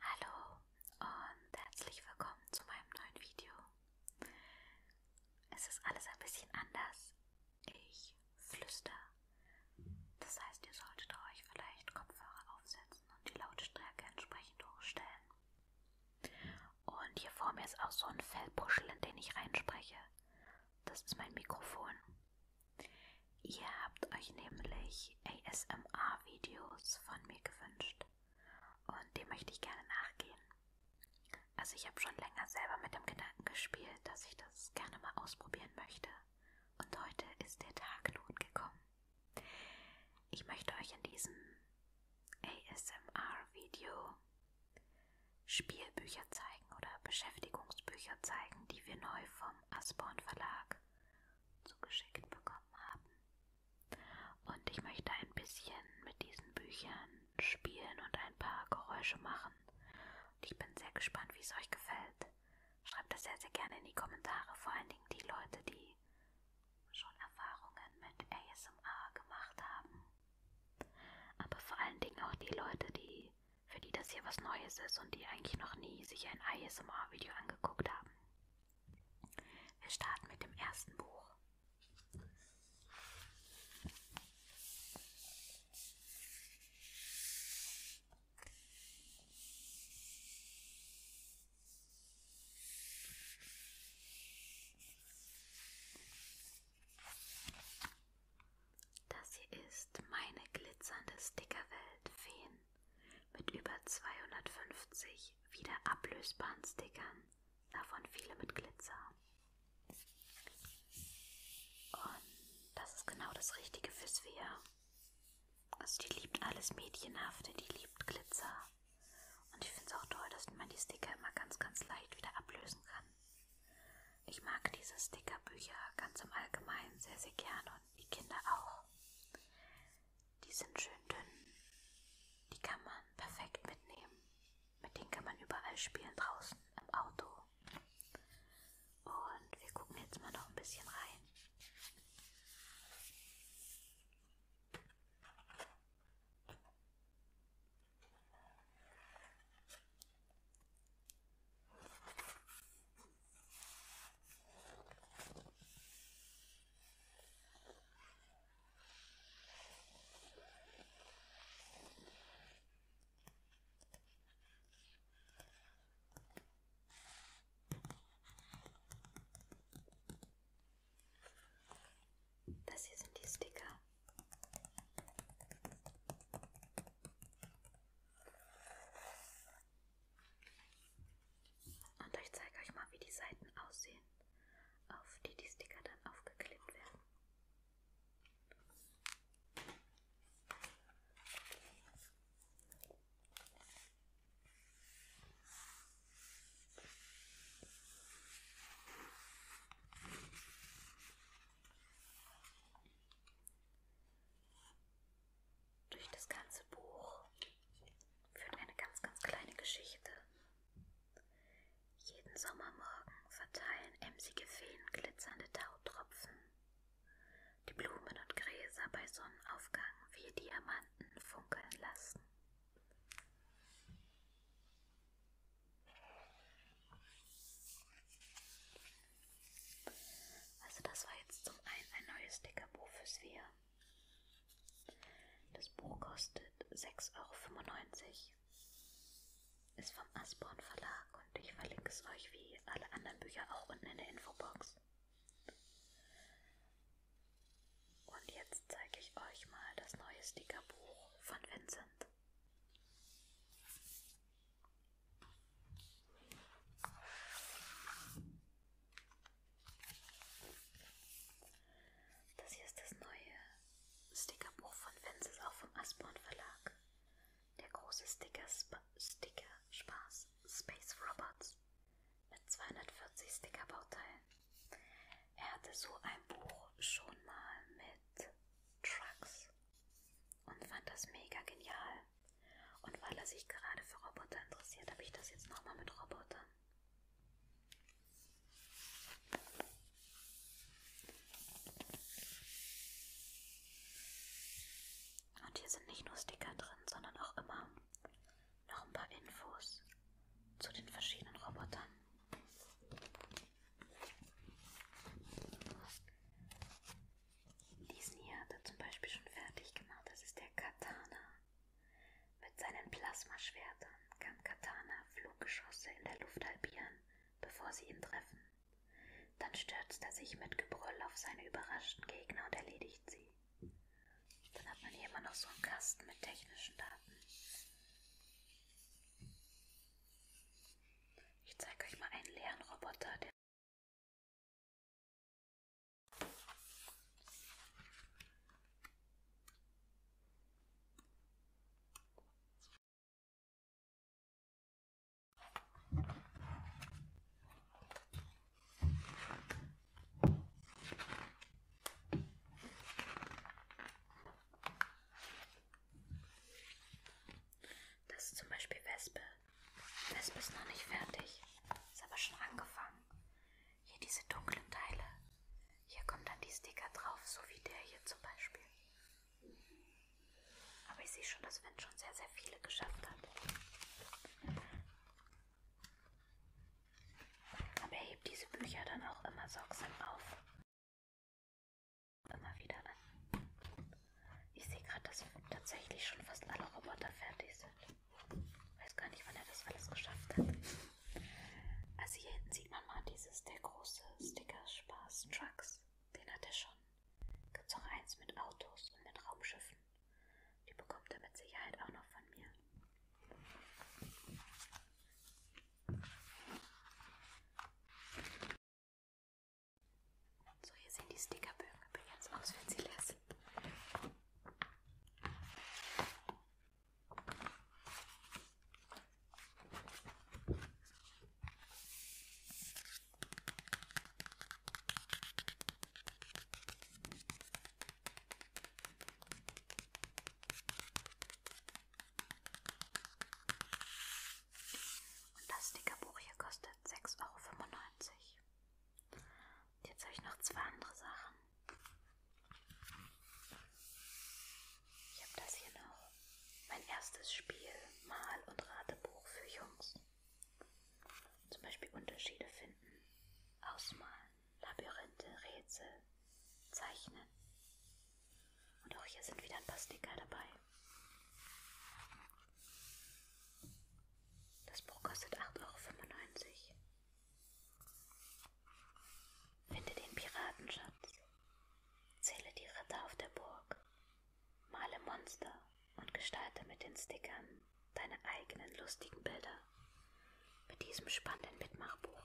Hallo und herzlich willkommen zu meinem neuen Video. Es ist alles ein bisschen anders. Ich flüster. Das heißt, ihr solltet euch vielleicht Kopfhörer aufsetzen und die Lautstärke entsprechend hochstellen. Und hier vor mir ist auch so ein Fellpuschel, in den ich reinspreche. Das ist mein Mikrofon. Ihr habt euch nämlich ASMR-Videos von mir gewünscht und dem möchte ich gerne nachgehen. Also ich habe schon länger selber mit dem Gedanken gespielt, dass ich das gerne mal ausprobieren möchte und heute ist der Tag nun gekommen. Ich möchte euch in diesem ASMR-Video Spielbücher zeigen oder Beschäftigungsbücher zeigen, die wir neu vom Asborn Verlag zugeschickt bekommen haben. Und ich möchte ein bisschen mit diesen Büchern spielen und ein paar Geräusche machen. Und ich bin sehr gespannt, wie es euch gefällt. Schreibt das sehr, sehr gerne in die Kommentare, vor allen Dingen die Leute, die schon Erfahrungen mit ASMR gemacht haben. Aber vor allen Dingen auch die Leute, die für die das hier was Neues ist und die eigentlich noch nie sich ein ASMR-Video angeguckt haben. Wir starten mit dem ersten Buch. Das hier ist meine glitzernde Stickerwelt Feen mit über 250 wieder ablösbaren Stickern, davon viele mit Glitzer. Und das ist genau das Richtige für Svea. Also die liebt alles Mädchenhafte, die liebt Glitzer. Und ich finde es auch toll, dass man die Sticker immer ganz, ganz leicht wieder ablösen kann. Ich mag diese Stickerbücher ganz im Allgemeinen sehr, sehr gerne und die Kinder auch. Die sind schön dünn. Die kann man perfekt mitnehmen. Mit denen kann man überall spielen, draußen, im Auto. Und wir gucken jetzt mal noch ein bisschen rein. Das hier sind die Sticker. Und ich zeige euch mal, wie die Seiten aussehen, auf die die Sticker dann aufgeklebt werden. Durch das ganze Buch führt eine ganz, ganz kleine Geschichte. Jeden Sommermorgen verteilen emsige Feen glitzernde Tautropfen. Die Blumen und Gräser bei Sonnenaufgang wie Diamanten funkeln lassen. Also das war jetzt zum einen ein neues Stickerbuch fürs Wir. Das Buch kostet 6,95 Euro. Ist vom Asborn Verlag und ich verlinke es euch wie alle anderen Bücher auch unten in der Infobox. Und jetzt zeige ich euch mal das neue Stickerbuch von Vincent. Das hier ist das neue Stickerbuch von Vince, ist auch vom Asborn Verlag. Der große Sticker, Sp Sticker Spaß Space Robots mit 240 Stickerbauteilen. Er hatte so ein Buch schon mal mit Trucks und fand das mega genial. Und weil er sich gerade für Roboter interessiert, habe ich das jetzt nochmal mit Robotern. Und hier sind nicht nur Sticker drin, sondern auch immer noch ein paar Infos zu den verschiedenen Robotern. Diesen hier hat er zum Beispiel schon fertig gemacht. Das ist der Katana. Mit seinen Plasmaschwertern kann Katana Fluggeschosse in der Luft halbieren, bevor sie ihn treffen. Dann stürzt er sich mit Gebrüll auf seine überraschten Gegner und erledigt sie. Dann hat man hier immer noch so einen Kasten mit technischen Daten. Ich zeige euch mal einen leeren Roboter, der das ist zum Beispiel Wespe. Wespe ist noch nicht fertig. Ist aber schon angefangen. Hier diese dunklen Teile. Hier kommen dann die Sticker drauf, so wie der hier zum Beispiel. Aber ich sehe schon, dass Wind schon sehr, sehr viele geschafft hat. Aber er hebt diese Bücher dann auch immer sorgsam auf. Immer wieder an. Ich sehe gerade, dass tatsächlich schon fast alle Roboter fertig sind. Ich weiß gar nicht, wann er das alles geschafft hat. Also hier hinten sieht man mal dieses, der große Sticker Spaß Trucks. Den hat er schon. Gibt's auch eins mit Autos und mit Raumschiffen. Die bekommt er mit Sicherheit auch noch von mir. So, hier sehen die Stickerbögen übrigens aus, wenn sie leer sind. Und das Stickerbuch hier kostet 6,95 Euro. Jetzt habe ich noch zwei andere Sachen. Ich habe das hier noch. Mein erstes Spiel, Mal- und Ratebuch für Jungs. Zum Beispiel Unterschiede finden, ausmalen, Labyrinthe, Rätsel, zeichnen. Und auch hier sind wieder ein paar Sticker dabei. Das Buch kostet 8,95 Euro. Finde den Piratenschatz, zähle die Ritter auf der Burg, male Monster und gestalte mit den Stickern deine eigenen lustigen Bilder. Mit diesem spannenden Mitmachbuch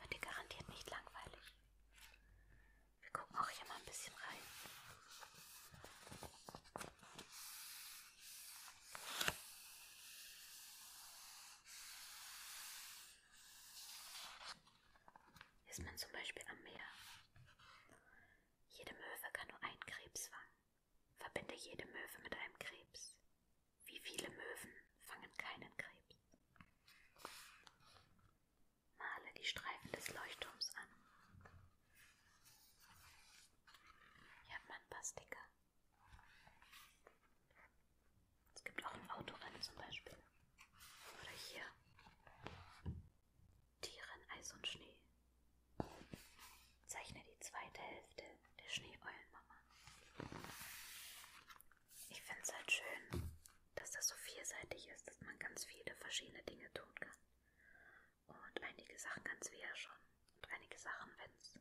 wird dir garantiert nicht langweilig. Wir gucken auch hier mal ein bisschen rein. Ist man zum Beispiel am Meer? Jede Möwe kann nur einen Krebs fangen. Verbinde jede Möwe mit einem Krebs. Wie viele Möwen fangen keinen Krebs? Male die Streifen des Leuchtturms an. Hier hat man Pastika. Es gibt auch ein Autorennen zum Beispiel. Oder hier. Tieren, Eis und Schnee. Zeichne die zweite Hälfte der Schneeeulenmama. Ich finde es halt schön, dass das so vielseitig ist, dass man ganz viele verschiedene Dinge tun kann. Und einige Sachen kannst du ja schon und einige Sachen Vince.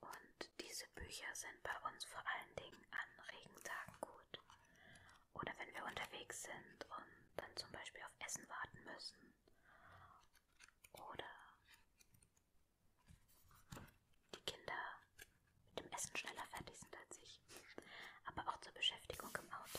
Und diese Bücher sind bei uns vor allen Dingen an Regentagen gut. Oder wenn wir unterwegs sind und dann zum Beispiel auf Essen warten müssen. Oder die Kinder mit dem Essen schneller fertig sind als ich. Aber auch zur Beschäftigung im Auto.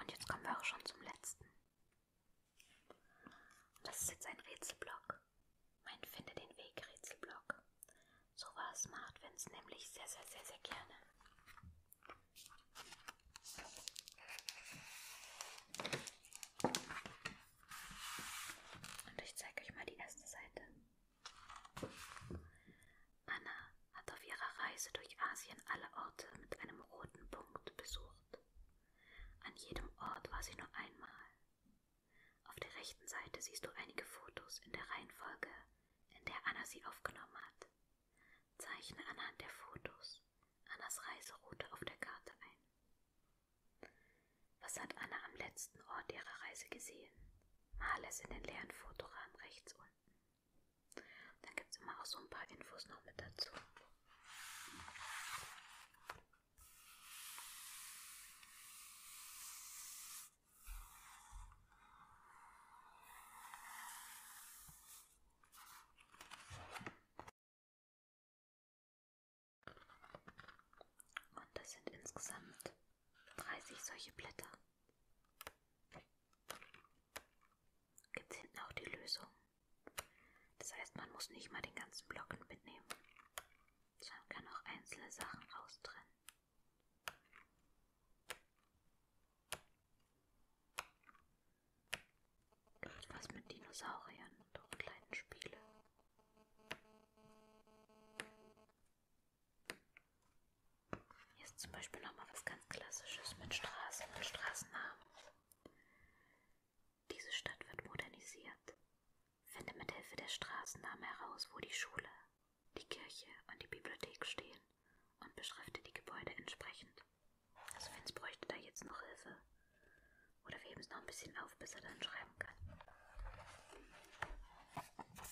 Und jetzt kommen wir auch schon zum letzten. Das ist jetzt ein Rätselblock. Mein Finde den Weg Rätselblock. So was macht Vince nämlich sehr, sehr, sehr, sehr gerne. Und ich zeige euch mal die erste Seite. Anna hat auf ihrer Reise durch Asien alle Orte mit einem roten Punkt besucht. An jedem Ort war sie nur einmal. Auf der rechten Seite siehst du einige Fotos in der Reihenfolge, in der Anna sie aufgenommen hat. Zeichne anhand der Fotos Annas Reiseroute auf der Karte ein. Was hat Anna am letzten Ort ihrer Reise gesehen? mal es in den leeren Fotorahmen rechts unten. Und dann gibt es immer auch so ein paar Infos noch mit dazu. Und das sind insgesamt 30 solche Blätter. Gibt es hinten auch die Lösung? Das heißt, man muss nicht mal den ganzen Block mitnehmen, sondern kann auch einzelne Sachen raustrennen. Gibt's was mit Dinosauriern und kleinen Spiele? Hier ist zum Beispiel nochmal was ganz Klassisches mit Straßen und Straßennamen. Diese Stadt wird modernisiert. Finde mit Hilfe der Straßennamen heraus, wo die Schule, die Kirche und die Bibliothek stehen und beschrifte die Gebäude entsprechend. Also Vince bräuchte da jetzt noch Hilfe. Oder wir heben es noch ein bisschen auf, bis er dann schreiben kann.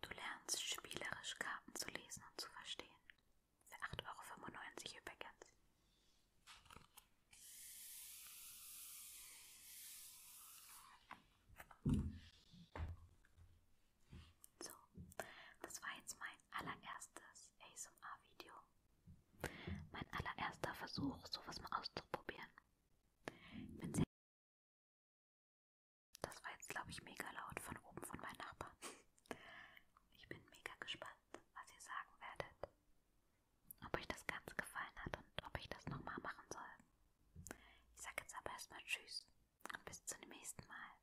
Du lernst spielerisch Karten zu lesen und zu verstehen. Für 8,95 Euro übrigens. So, das war jetzt mein allererstes ASMR-Video. Mein allererster Versuch, sowas mal auszuprobieren. Bin sehr das war jetzt, glaube ich, mega laut von oben von meinen Nachbarn. Ich bin mega gespannt, was ihr sagen werdet. Ob euch das Ganze gefallen hat und ob ich das nochmal machen soll. Ich sage jetzt aber erstmal Tschüss und bis zum nächsten Mal.